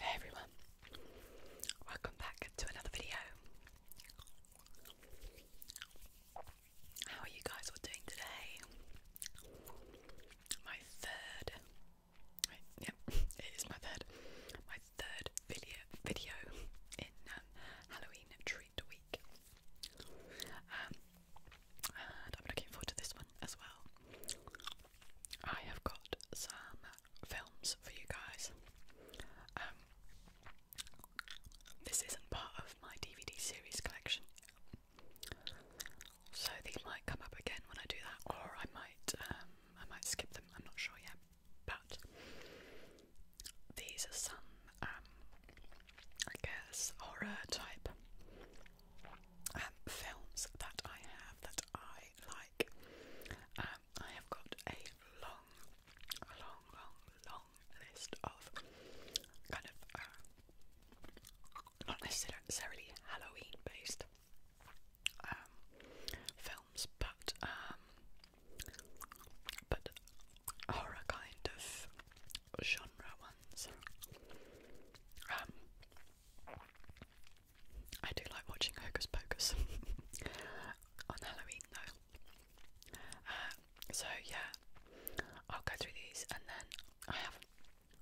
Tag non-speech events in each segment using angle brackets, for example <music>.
Hey everyone, welcome back to another video. How are you guys all doing today? My third, yep, it is my third, my third video in um, Halloween treat week. Um, I'm looking forward to this one as well. I have got some films for you guys. Um, this isn't part of my DVD series collection, so these might come up again when I do that, or I might um, I might skip them. I'm not sure yet, but these are some um, I guess horror type um, films that I have that I like. Um, I have got a long, long, long, long list of kind of uh, not necessarily Halloween based um, films, but um, but horror kind of genre ones. Um, I do like watching Hocus Pocus <laughs> on Halloween though. Uh, so yeah, I'll go through these and then I haven't,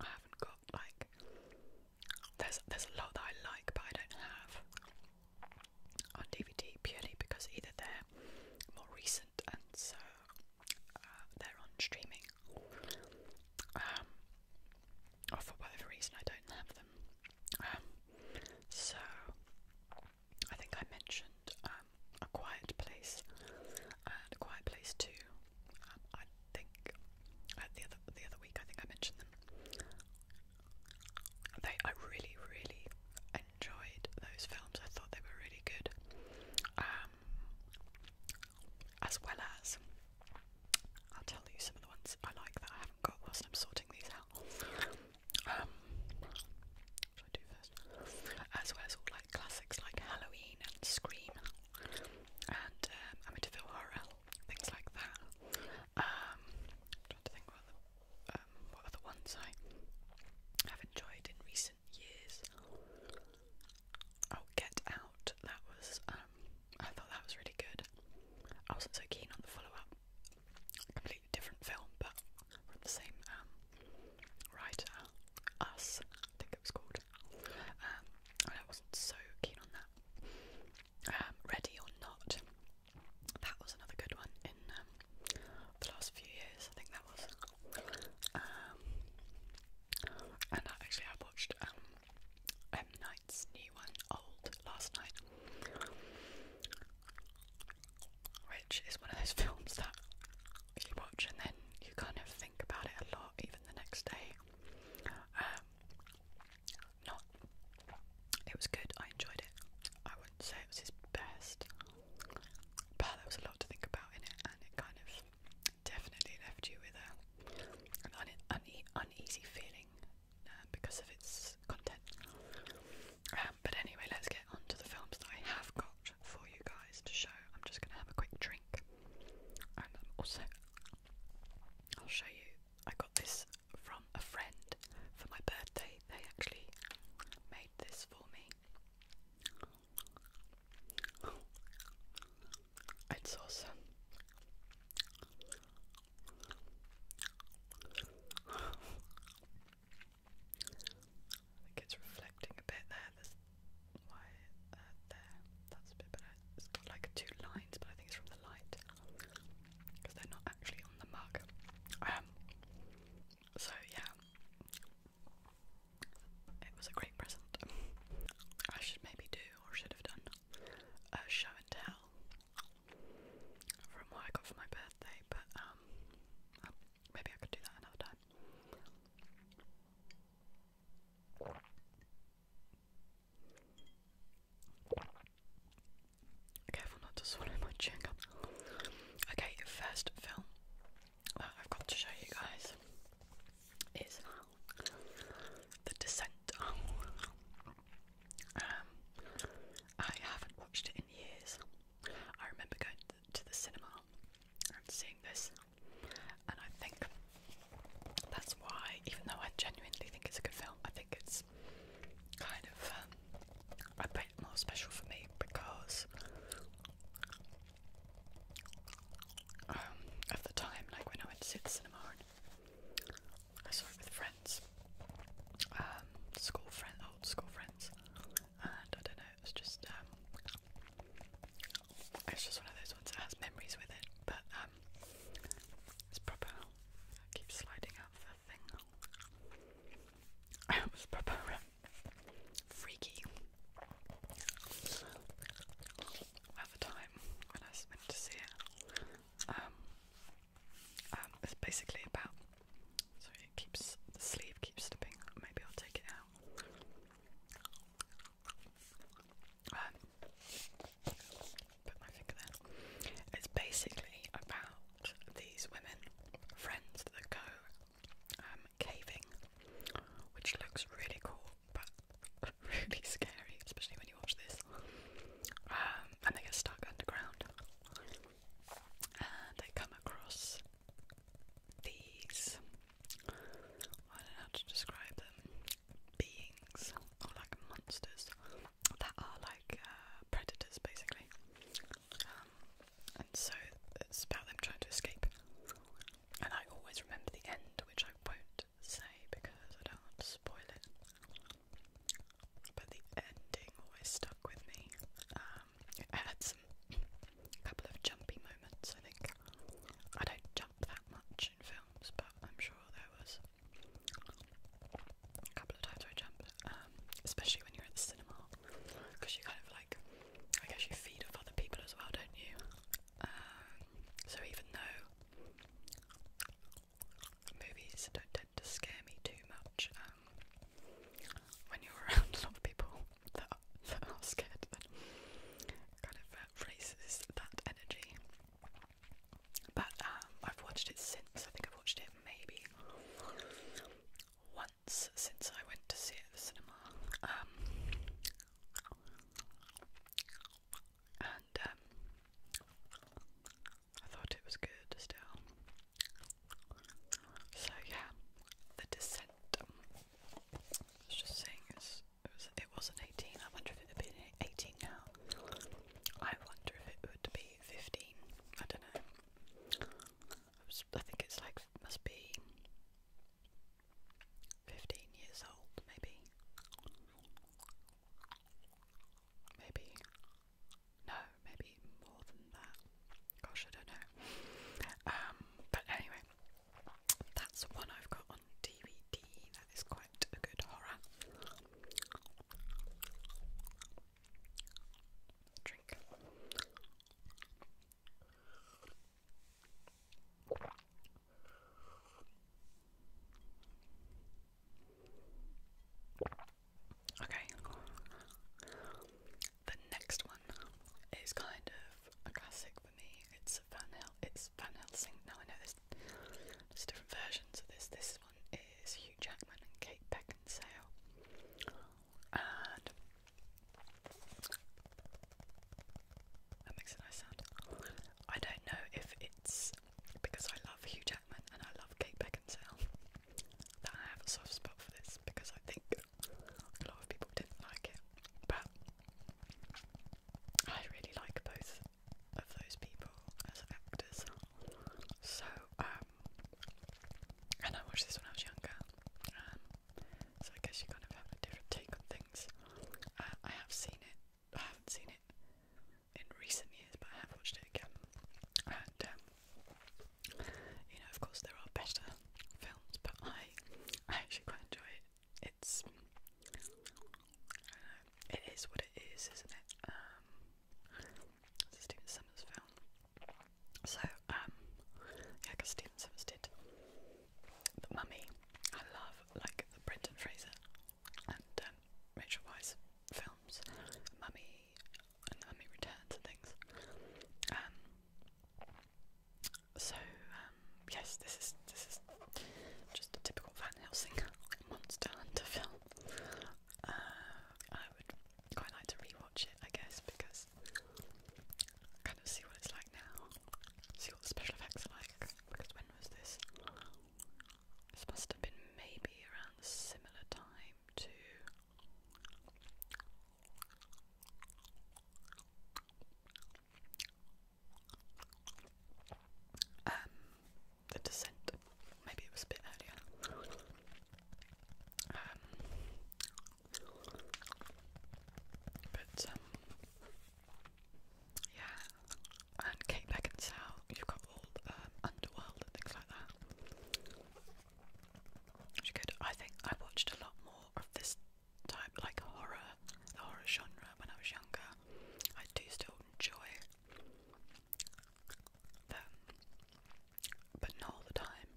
I haven't got like. There's there's a lot that I like but I don't have on DVD purely because either they're more recent and so uh, they're on streaming. Um, or for whatever reason, I don't have them. Um, so I think I mentioned um, a quiet place and a quiet place too. Um, I think uh, the other the other week I think I mentioned them. They I really really enjoyed those films. I thought they were really good. Um, as well as I'll tell you some of the ones I like that I haven't got whilst I'm sorting these out. Um, what should I do first? As well as all like classics like Halloween and Scream and um, Amityville Horror, things like that. Um, I'm trying to think what other, um, what other ones I have enjoyed in recent years. Oh, Get Out. That was, um, I thought that was really good. I wasn't so keen on the follow up. Completely different film, but from the same um, writer, Us, I think it was called. Um, I wasn't so keen on that. Ready or Not. That was another good one in the last few years. I think that was. And actually, I watched um, M. Night's new one, Old, last night, which is one of those <laughs> films that you watch and then you kind of think about it a lot, even the next day. Um, not, it was good. I enjoyed it. I wouldn't say it was his best, but there was a lot to think about in it, and it kind of definitely left you with a, an uneasy feeling um, because of its content. Um, but anyway, let's get on the films that I have got for you guys to show. I'm just going to have a quick drink. And also, I'll show you. I got this from a friend for my birthday. They actually made this for me. It's awesome. I think it's reflecting a bit there. That's why uh, there. That's a bit better. It's got like two lines, but I think it's from the light because they're not actually on the mug. Um. So yeah, it was a great present. I should maybe do, or should have done, a show and tell from what I got for my birthday, but um, uh, maybe I could do that another time. Careful not to swallow my chewing Okay, first film uh, I've got to show you guys is the Descent. <laughs> Um, I haven't watched it in years. I remember going to the cinema and seeing this, and I think that's why, even though I genuinely think it's a good film, I think it's kind of um, a bit more special for me because um, of the time, like when I went to see the cinema I saw it with friends, um, school friends, old school friends, and I don't know, it was just, um, it's just one of those ones that has memories with it, but, um, it's proper, I sliding out the thing, <laughs> it was proper, freaky, time when I was to see it. Um, um, it's basically about. Sorry, it keeps the sleeve keeps slipping. Maybe I'll take it out. Um, put my finger there. It's basically about these women, friends that go caving, which looks really cool, but <laughs> really scary, especially when you watch this. Um, and they get stuck underground. And they come across these, I don't know how to describe them, beings or like monsters that are like uh, predators basically. Um, and so it's about them trying to escape. And I always remember the end, which I won't say because I don't want to spoil it. But the ending always stuck with me. Um, it had some couple of jumpy moments, I think. I don't jump that much in films, but I'm sure there was a couple of times I jumped, um, especially when you're at the cinema, because you kind of like, I guess you feed off other people as well, don't you? Um, so even though movies don't tend to scare me too much, um, when you're <laughs> around a lot of people <laughs> that are, that are scared, then kind of uh, raises that energy. But um, I've watched it since. I think I've watched it maybe once since I went to see it at the cinema. Um, and um, I thought it was good still. So yeah, the descent. Um, just saying it was it wasn't eighteen. I wonder if it would be eighteen now. I wonder if it would be fifteen. I don't know. I think it's like must be 15 years old, maybe. Maybe. No, maybe more than that. Gosh, I don't know. Um, but anyway, that's one I've got on DVD. That is quite a good horror. Drink. Okay, the next one is kind of a classic for me. It's Van Hel it's Van Helsing. Now I know there's different versions of this. This one is Hugh Jackman and Kate Beckinsale, and that makes a nice sound. I don't know if it's because I love Hugh Jackman and I love Kate Beckinsale that I have a soft spot for this because I think a lot of people didn't like it. But I really like both of those people as actors. So, um, and I watched this when I was younger. Um, so I guess you kind of have a different take on things. Uh, I have seen it I haven't seen it in recent years, but I have watched it again. And um, you know, of course, there are better films, but I, I actually quite enjoy it. It's, it is what it is, isn't it? Um, it's a Stephen Summers film. So, um, yeah, Stephen Summers did The Mummy. I love, like, the Brendan Fraser and um, Rachel Weisz films, Mummy and the Mummy Returns and things. Um, so um, yes, this is this is just a typical Van Helsing monster hunter film. Uh, I would quite like to rewatch it, I guess, because kind of see what it's like now, see what the special effects are like. Because when was this? This must have been maybe around a similar time to um, the descent. Maybe it was a bit earlier. Um, but um, yeah, and Kate Beckinsale. You've got all um, Underworld and things like that. Which good. I think I watched a lot more of this type, like horror, the horror genre when I was younger. I do still enjoy them, but not all the time.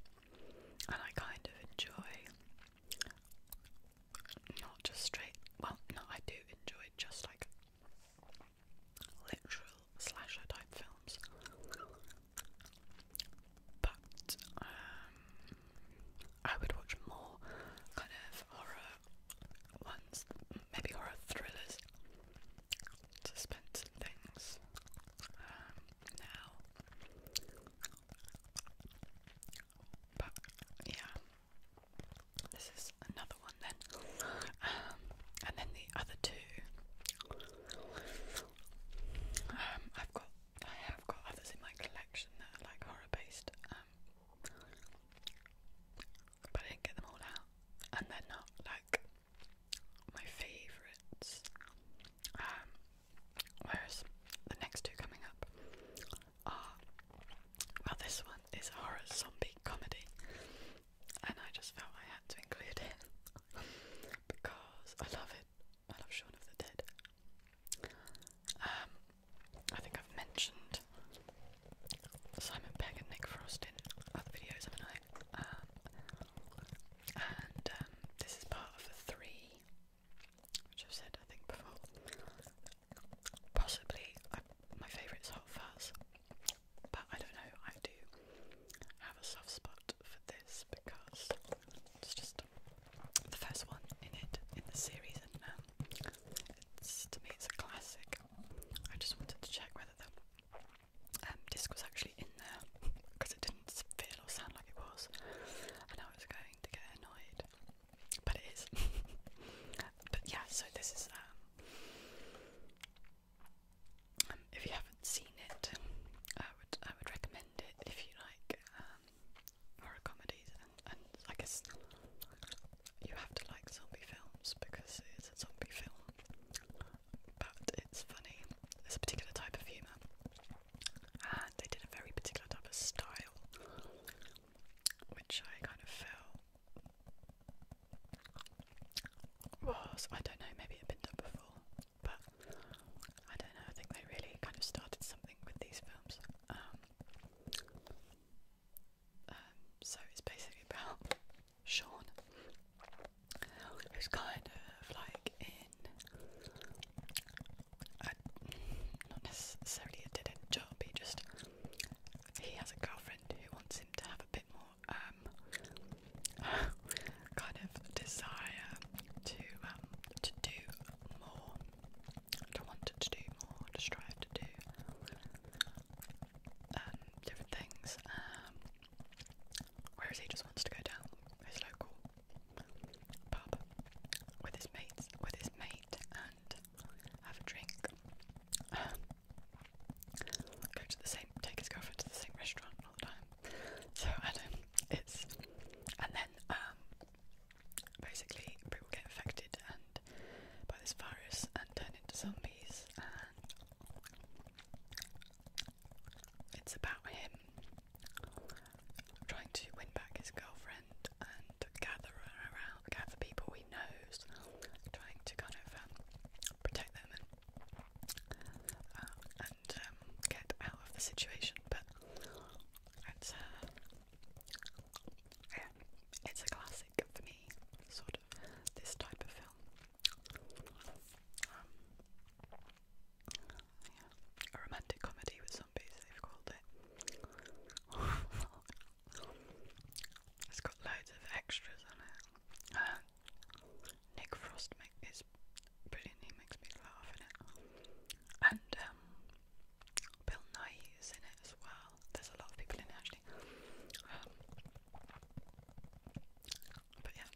And I kind of enjoy not just straight. Well, no, I do enjoy just like literal slasher type films, but um, I would watch more kind of horror ones, maybe horror thrillers, suspense and things. Um, now, but yeah, this is another one then. Um, and then the other two. Um, I've got I have got others in my collection that are like horror based, um, but I didn't get them all out. And they're not like my favourites. whereas the next two coming up are well this one it's a horror zombie comedy, and I just felt I had to include it <laughs> because I love it. I love Shaun of the Dead. Um, I think I've mentioned Simon Pegg and Nick Frost in other videos, haven't um, and um, this is part of a three, which I've said I think before. Possibly, I, uh, my favourite is Hot Fuzz, but I don't know, I do have a soft spot for this because it's just the first one in it, in the series, and um, it's, to me it's a classic. I just wanted to check whether the um, disc was actually in there because it didn't feel or sound like it was, and I was going to get annoyed but it is. <laughs> but yeah, so this is. Um, um, if you haven't seen it, I would I would recommend it if you like um, horror comedies, and, and I guess you have to like zombie films because it's a zombie film. But it's funny. It's a particular type of humour, and they did a very particular type of style, which I kind of fell was. I don't know, maybe it has been done before, but I don't know. I think they really kind of started something with these films. Um, um so it's basically about Sean, who's kind of like in not necessarily a dead job, he just he has a girlfriend who wants him to have a bit more um, <laughs> kind of desire to um, to do more, to want to do more, to strive to do um, different things. whereas he just wants to go down his local pub with his mates, with his mate, and have a drink go to the same, take his girlfriend to the same restaurant all the time. So I know it's, and then um, basically people get infected and by this virus and turn into zombies, and it's about him trying to win back his girlfriend and gather around, gather people we nose, trying to kind of um, protect them and uh, and um, get out of the situation. But it's uh, yeah, it's a classic for me, sort of this type of film. Um, yeah. A romantic comedy with zombies, they've called it. <laughs> Oh, it's got loads of extras on it. Uh, Nick Frost make, is brilliant, he makes me laugh in it. And um, Bill Nye is in it as well. There's a lot of people in it actually. Um, but yeah,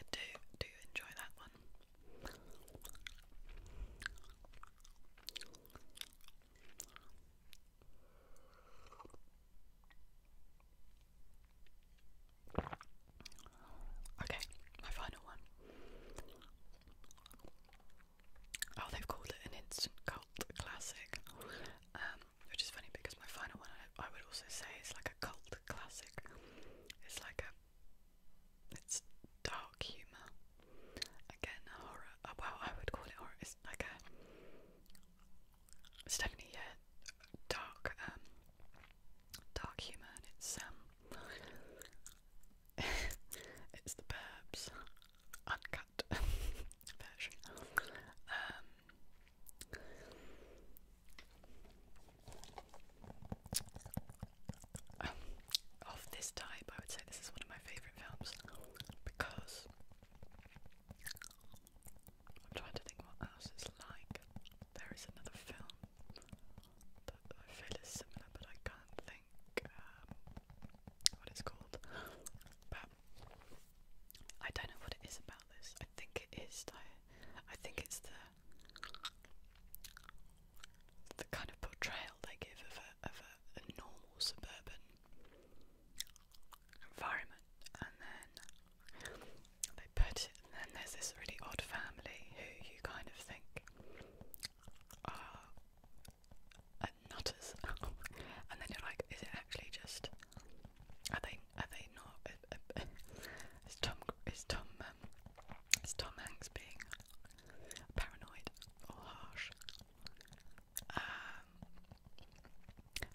I do, do enjoy that one. Okay, my final one. Oh, they've called it an instant cult classic, um, which is funny because my final one I, would also say is like a cult classic. It's like a it's dark humor. Again, horror. Uh, well, I would call it horror. It's like a it's definitely yeah, dark, um, dark humour, it's um, <laughs> it's the Burbs uncut <laughs> version. Um, of this type, I would say this is one of my favourite films because I'm trying to think what else it's like. There is another film that I feel is similar, but I can't think um, what it's called. But I don't know what it is about this. I think it is. I, I think it's the the kind of portrayal they give of a of a normal suburban environment and then they put it and then there's this really odd family who you kind of think are nutters <laughs> and then you're like is it actually just are they are they not uh, uh, is Tom is Tom um, is Tom Hanks being paranoid or harsh um,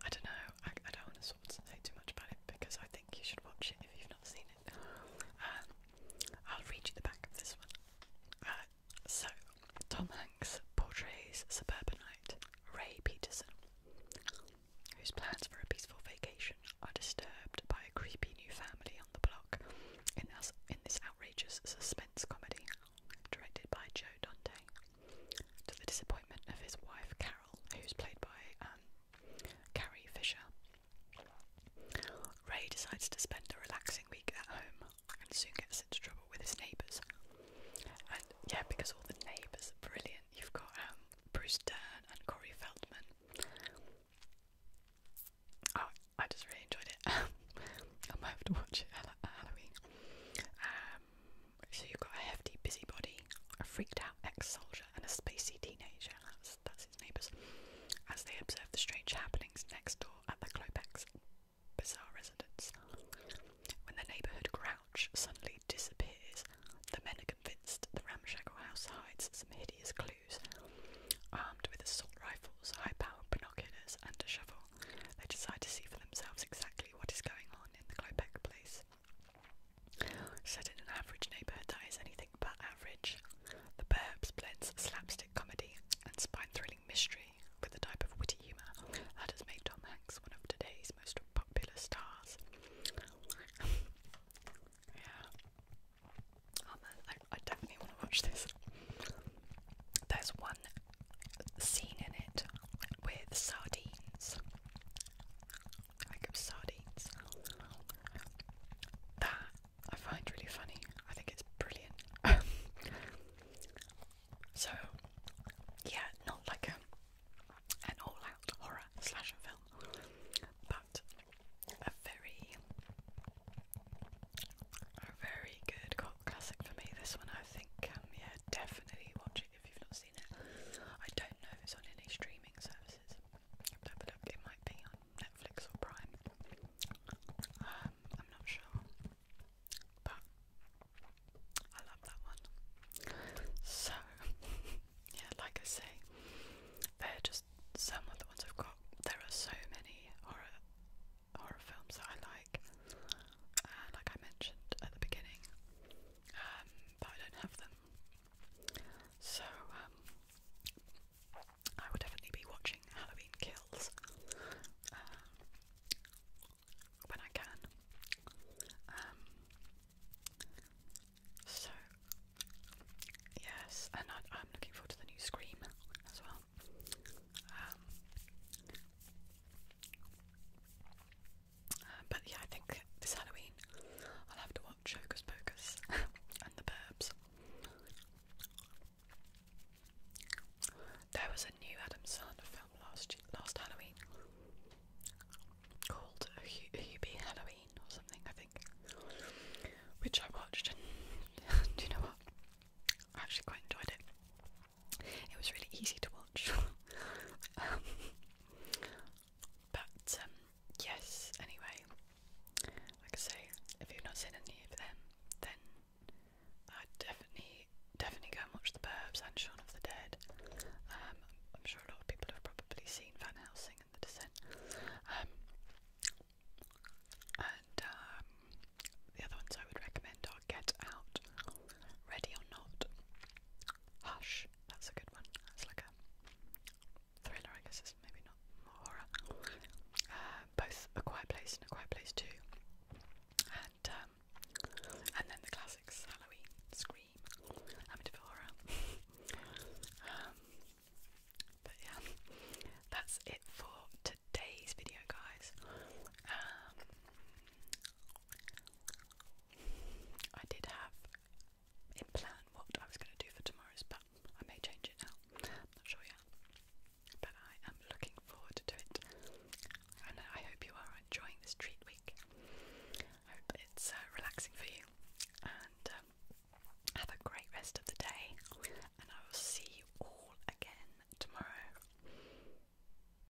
I don't know. I, I don't want to sort of say too much about it because I think you should watch it if you've not seen it. Um, I'll read you the back of this one. Uh, so, Tom Hanks portrays suburbanite Ray Peterson, whose plans for a peaceful vacation are disturbed by a creepy new family on the block. In this, in this outrageous suspense comedy, directed by Joe Dante to the disappointment of his wife Carol, who's played by um, Carrie Fisher. Ray decides to spend a relaxing week at home and soon gets into trouble with his neighbours. And yeah, because all the neighbours are brilliant. You've got um, Bruce Dern and Corey Feldman. Oh, I just really enjoyed it. <laughs> I might have to watch it at Halloween. Um, so you've got a hefty busybody, a freaked out ex-soldier, and a spacey teenager, that's, that's his neighbours, as they observe the strange happenings next door at the Klopex bizarre residence. When the neighbourhood crouch suddenly disappears, the men are convinced the ramshackle house hides some hideous clues. Armed with assault rifles, high-powered binoculars, and a shovel, they decide to see for themselves exactly what is going on in the Klopek place. Set an average neighbourhood that is anything but average, The Burbs blends slapstick comedy and spine-thrilling mystery with the type of witty humour that has made Tom Hanks one of today's most popular stars. <laughs> yeah. Oh, I, definitely want to watch this. There's scene in it with sardines, like sardines. That I find really funny. I think it's brilliant. <laughs> so, yeah, not like an all-out horror slasher film, but a very, a very good cult classic for me. This one, I think, um, yeah, definitely watch it if you've not seen it. I don't know if it's on any streaming services, but it might be on Netflix or Prime. Um, I'm not sure, but I love that one. So, <laughs> yeah, like I say, they're just some of the ones I've got. There are so many horror horror films that I like. Uh, like I mentioned at the beginning, um, but I don't have them. So um, I will definitely be watching Halloween Kills uh, when I can. Um, so yes, and I, am looking forward to the new Scream as well. Uh, but yeah, I think this Halloween I'll have to watch Hocus Pocus <laughs> and The Burbs. There was a new Adam Sandler film last last Halloween called Hubie Halloween or something, I think, which I watched and <laughs> do you know what? I actually quite enjoyed it. It was really easy to watch. <laughs> Um, but um, yes, anyway, like I say, if you've not seen any of them, then i definitely, definitely go and watch The Burbs and Shaun of the Dead. Um, I'm sure a lot of people have probably seen Van Helsing and The Descent. and the other ones I would recommend are Get Out, Ready or Not, Hush, that's a good one. That's like a thriller, I guess maybe not horror. Uh, both A Quiet Place and A Quiet Place 2. And um, and then the classics, Halloween, Scream, Amityville Horror. <laughs> Um, but yeah, that's it for today's video, guys. Um, I did have in plan what I was going to do for tomorrow's, but I may change it now. not sure yet. But I am looking forward to it. And I hope you are enjoying this treat week. hope it's uh, relaxing for you. And um, have a great rest of the day. And I will see you all again tomorrow.